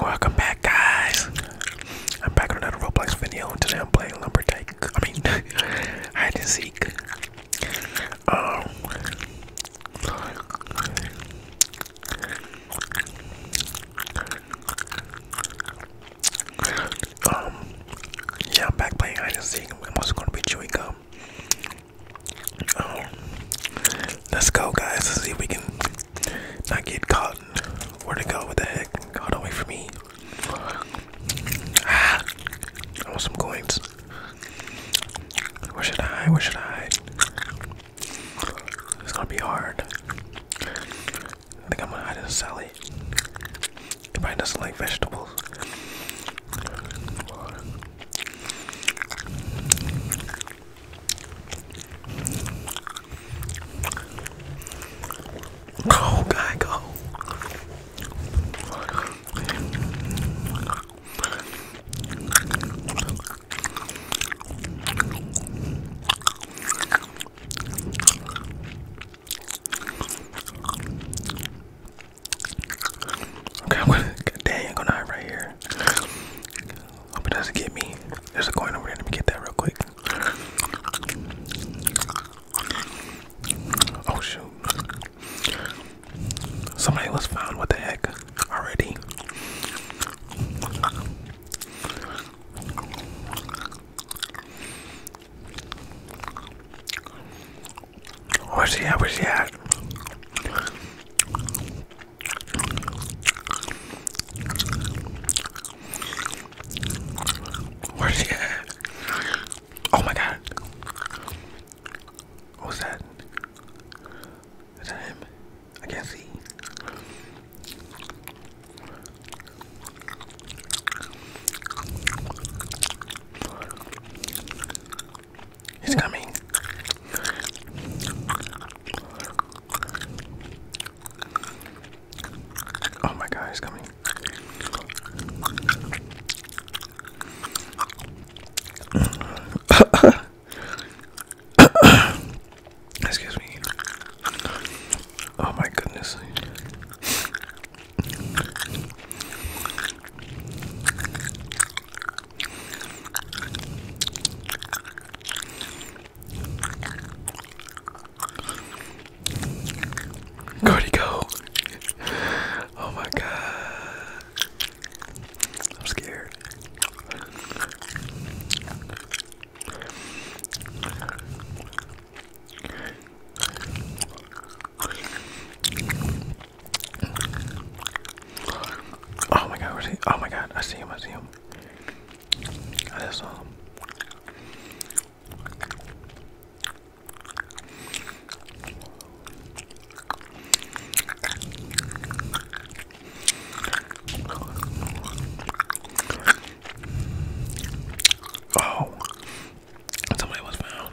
Welcome back, guys. I'm back on another Roblox video, and today I'm playing Lumberjack. I mean, hide and seek. Um, um, yeah, I'm back playing hide and seek. I'm also gonna be chewing gum. Um, let's go, guys. Let's see if we can not get caught. Where to go? What the heck? Oh, away not for me. Ah, I want some coins. Where should I Where should I It's gonna be hard. I think I'm gonna hide in a salad. He I doesn't like vegetables. Go, guy, go. Okay, I'm gonna dang, I'm gonna right here. Hope it doesn't get me. There's a coin over there. Let me get that real quick. Oh shoot. Somebody was found, what the heck? Already. Where's he at? Where's he at? Where's he at? Oh my god. What was that? Is that him? I can't see. He's coming. Oh my god, he's coming. Excuse me. Oh my goodness. Cody go. Oh my god. I'm scared. Oh my god, where's he? Oh my god, I see him, I see him. I just saw him. Oh, somebody was found.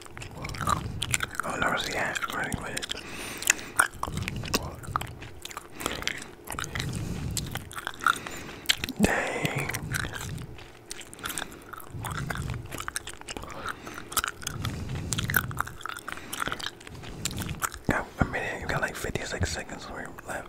Oh, no, see, I running with it. Dang. a minute, we got like 56 seconds left.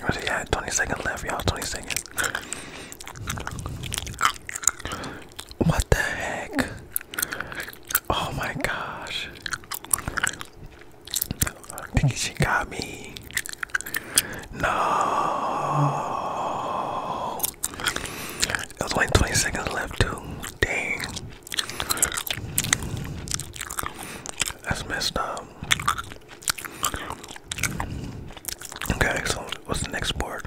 What do 20 seconds left, y'all. 20 seconds. What the heck? Oh my gosh. I think she got me. No. It was only 20 seconds left, too. Dang. That's messed up. Okay, excellent. What's the next part?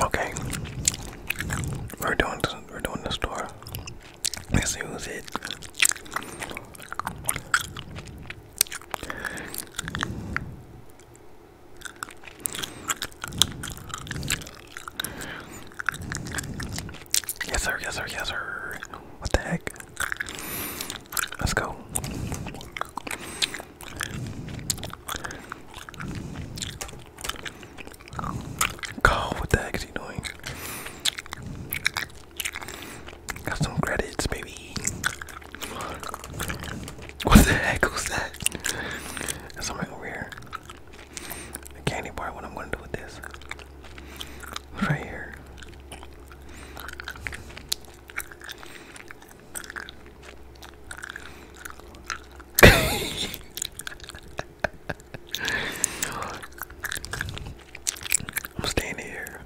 Okay. We're doing this, we're doing the store. Let's see who's it. Yes sir, yes sir, yes sir. What the heck? Let's go. Carl, what the heck is he doing? Got some credits, baby. What the heck was that? something over here. candy bar, what I'm gonna do with this. Right here. I'm staying here.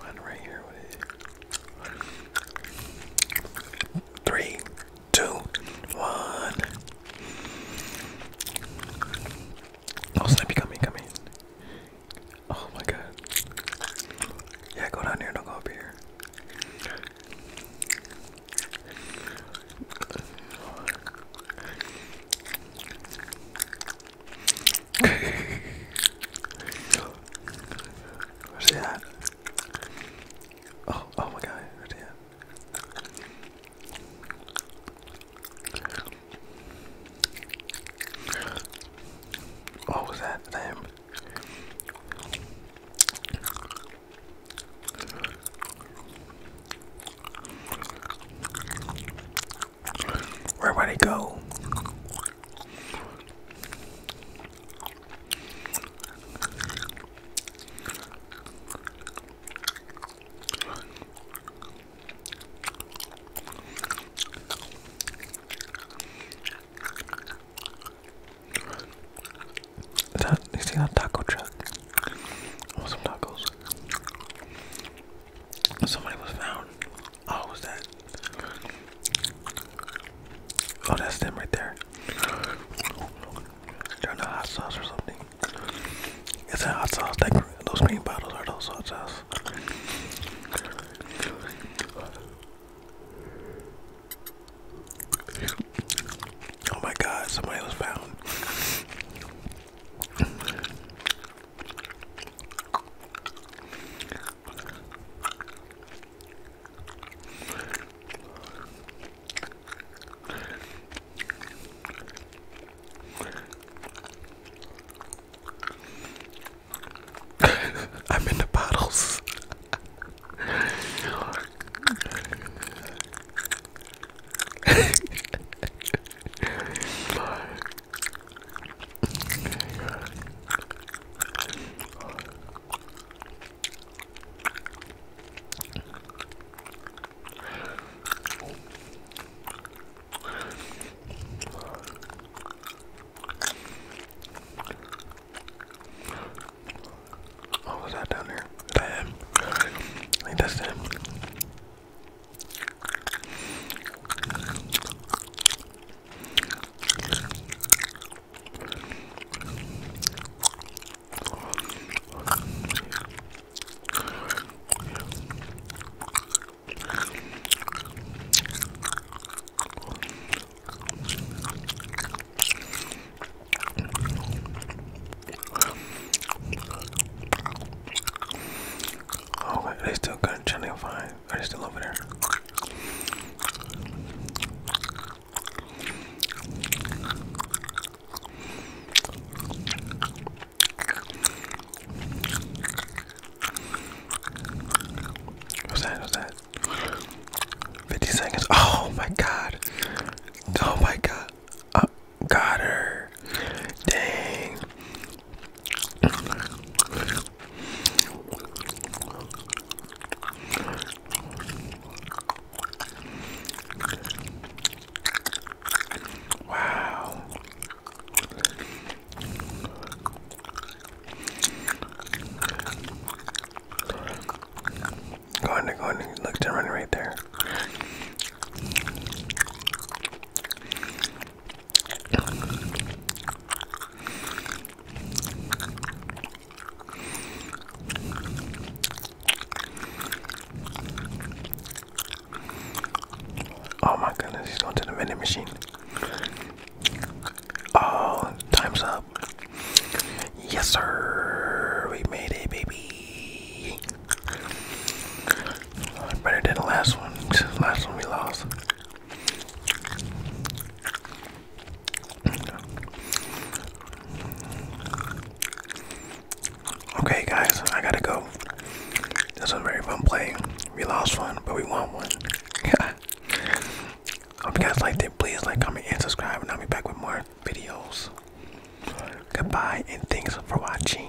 One right here. Three two, one. Oh, Snippy, come in, come Oh my god. Yeah, go down here, don't go up here. Where's he Oh, oh my god, where's what was that name? Where would it go? Is you see that taco truck? Oh, tacos. Somebody was found. Oh, was that? Oh, that's them right there. they the hot sauce or something. It's a hot sauce. those green bottles are those hot sauce. Oh my God! Somebody was found. I'm in the bottles. What was that down there? Is that him? I think that's him. Okay, they still couldn't channel are they still over there? What's that? What's that? 50 seconds. Oh my god. Oh my god. Uh, got her. Dang. Wow. Go on, go on, look to run right there. Oh my goodness, he's going to the vending machine. Oh, time's up. Yes, sir. We made it, baby. I Better than the last one. Last one we lost. Okay, guys, I gotta go. This was very fun playing. We lost one, but we won one. Hope you guys liked it. Please like, comment, and subscribe, and I'll be back with more videos. Goodbye, and thanks for watching.